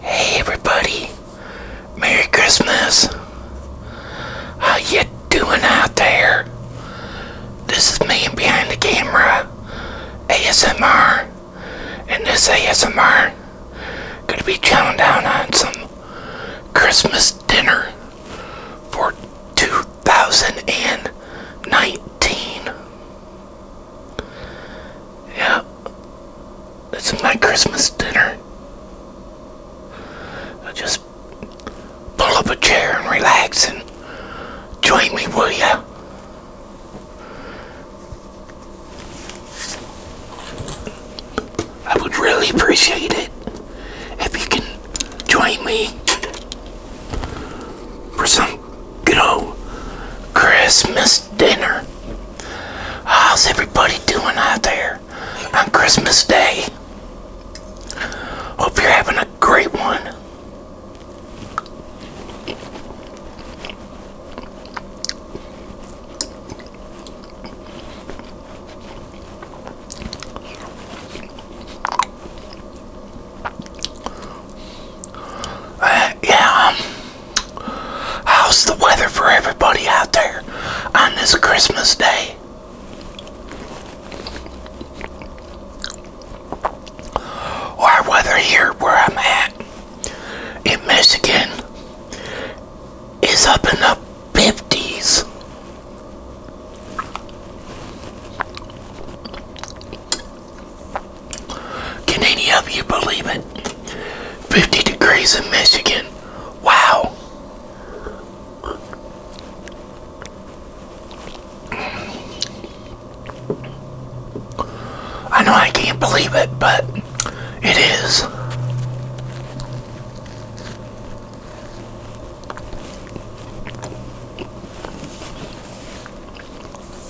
Hey everybody, Merry Christmas. How you doing out there? This is me behind the camera, ASMR, and this ASMR gonna be chowing down on some Christmas dinner for 2019. Yeah, it's my Christmas dinner. just pull up a chair and relax and join me, will ya? I would really appreciate it if you can join me for some good old Christmas dinner. How's everybody doing out there on Christmas Day? Hope you're having a great one. Uh, yeah, um, how's the weather for everybody out there on this Christmas day? Our weather here where I'm at in Michigan is up in the 50s. Can any of you believe it? 50 degrees in Michigan. Wow. I know I can't believe it, but it is.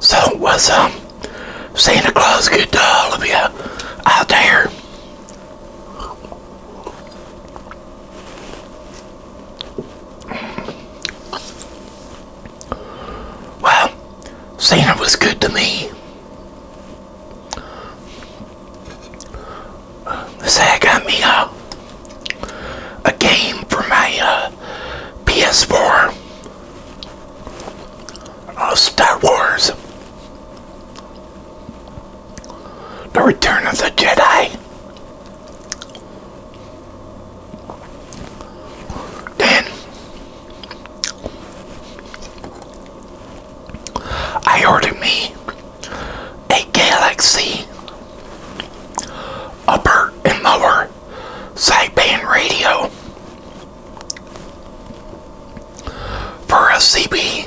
So what's up? Um, Santa Claus good to all of you out there? Well, Cena was good to me. This guy got me a, a game for my PS4 uh, Star Wars The Return of the Jedi. Then I ordered me a Galaxy upper and lower sideband radio for a CB.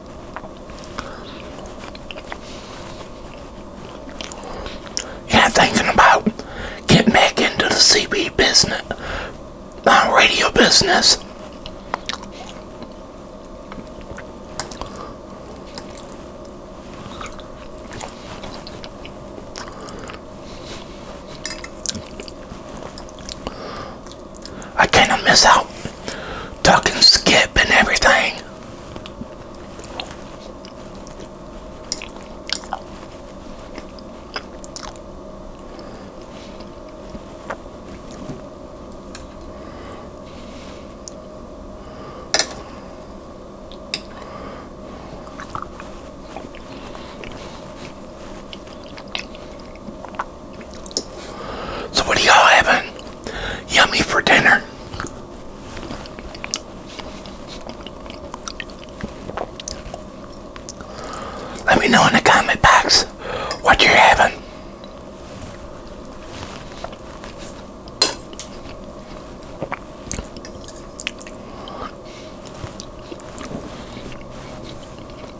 Yeah, thinking about getting back into the CB business, uh, radio business. I kind of miss out talking skip and everything. So what are y'all having? Yummy for dinner. Let me know in the comment box what you're having.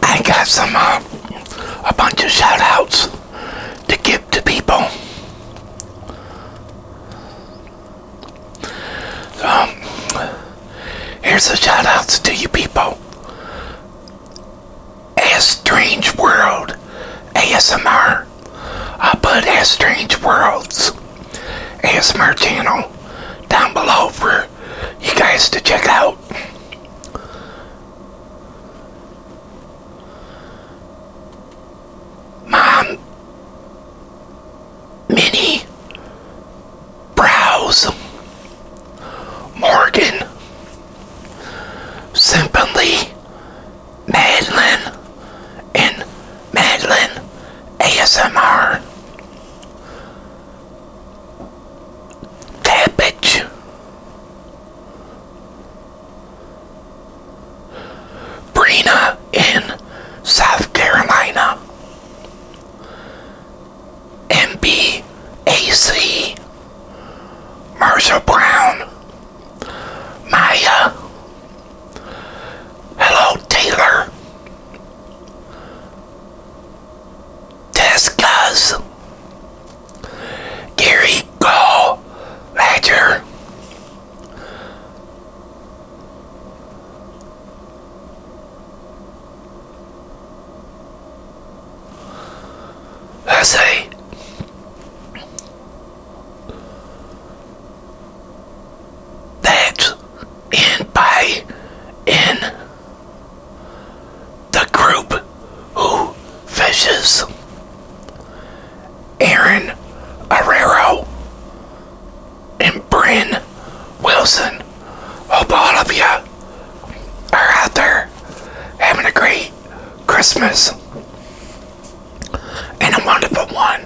I got some uh, a bunch of shout outs to give to people. Um, here's a shout out to you people. As Strange World ASMR. i put As Strange Worlds ASMR channel down below for you guys to check out. Mom Minnie, Browse, Morgan, Simply. Madeline, and Madeline ASMR, Cabbage, Brina in South Carolina. MBAC, Marshall Brown, Maya, hello Taylor, Tescas, Gary Gall, Ledger, I say, that's in by in the group who fishes. Aaron Arrero and Bryn Wilson. Hope all of you are out there having a great Christmas and a wonderful one.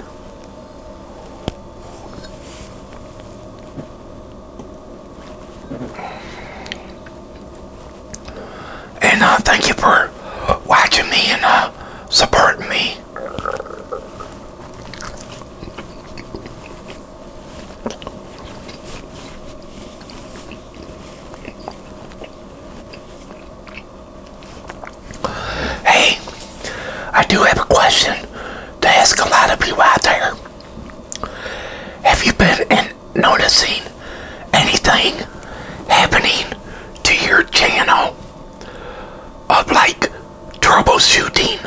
And uh, thank you for watching me and uh, supporting me. Hey, I do have a question to ask a lot of you out there. Have you been noticing anything happening to your channel of like troubleshooting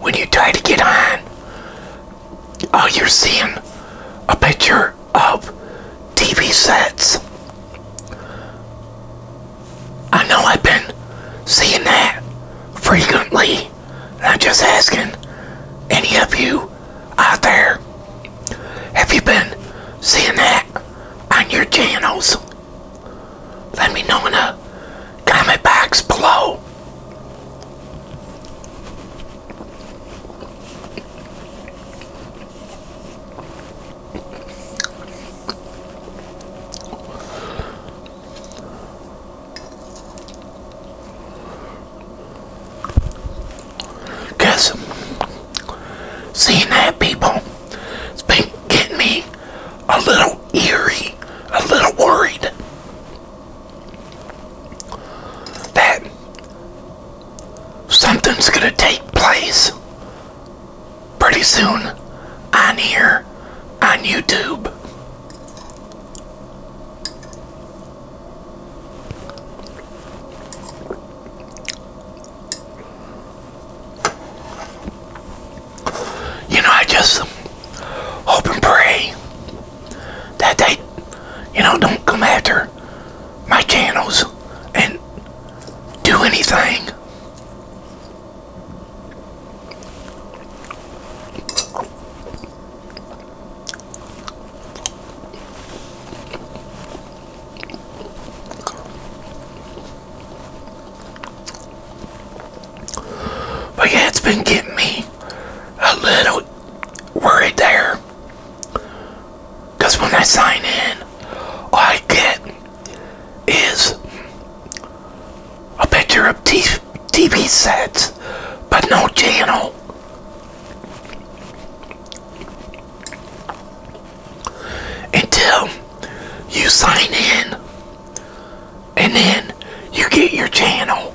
when you try to get on. Uh, you're seeing a picture of TV sets. I know I've been seeing that frequently. I'm just asking any of you out there, have you been seeing that on your channels? Let me know when in get my bags below. Cause seeing that people, it's been getting me a little eerie, a little worried that something's going to take place pretty soon on here on YouTube. You know, I just hope and pray that they, you know, don't come after my channels and do anything. But yeah, it's been getting me a little worried there. Because when I sign in, all I get is a picture of TV sets, but no channel until you sign in and then you get your channel.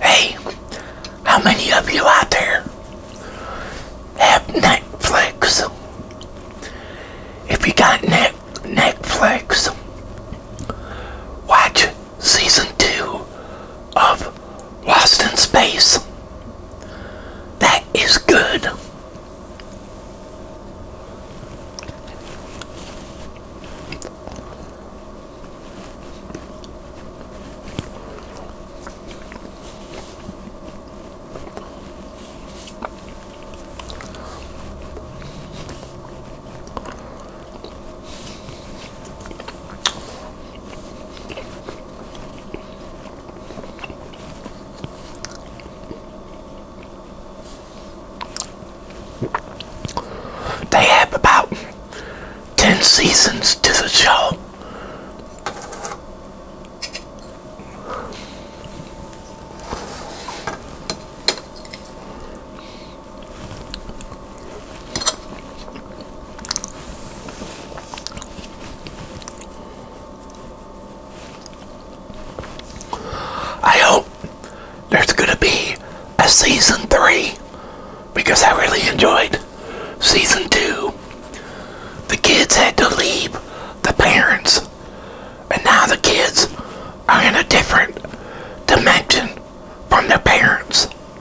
Hey, how many of you out there have Netflix? If you got Net Netflix, watch season two of Lost in Space. That is good. They have about 10 seasons to the show. I hope there's going to be a season three because I really enjoyed season two. The kids had to leave the parents, and now the kids are in a different dimension from their parents.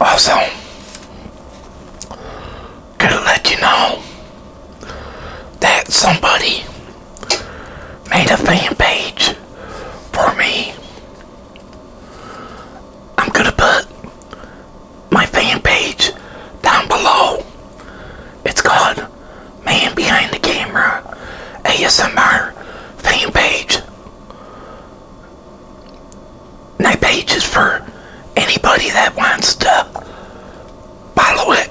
Also, gonna let you know that somebody made a fan page for me. I'm gonna put my fan page down below. It's called Man Behind the Camera ASMR fan page. My page is for anybody that wants to follow it.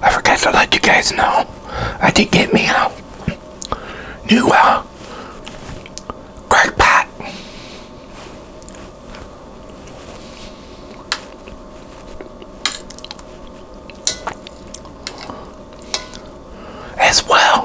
I forgot to let you guys know. I did get me out. new uh, crack pot. As well.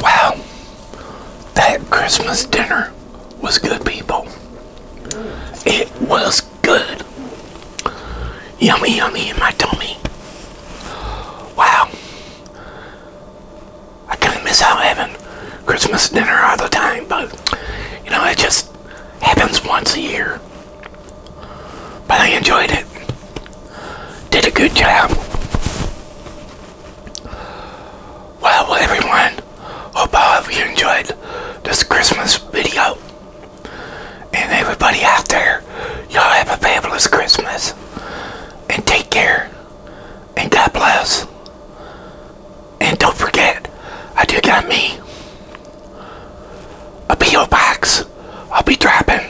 Wow, that Christmas dinner was good, people. It was good. Yummy, yummy in my tummy. Wow. I kind of miss out having Christmas dinner all the time, but, you know, it just happens once a year. But I enjoyed it did a good job. Well, everyone, hope all of you enjoyed this Christmas video. And everybody out there, y'all have a fabulous Christmas. And take care. And God bless. And don't forget, I do got me a P.O. box. I'll be dropping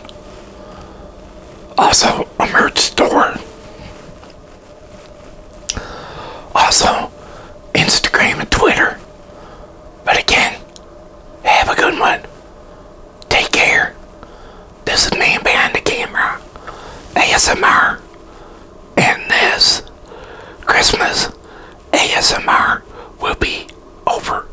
also, a merch store. Also, Instagram and Twitter. But again, have a good one. Take care. This is me behind the camera, ASMR, and this Christmas ASMR will be over.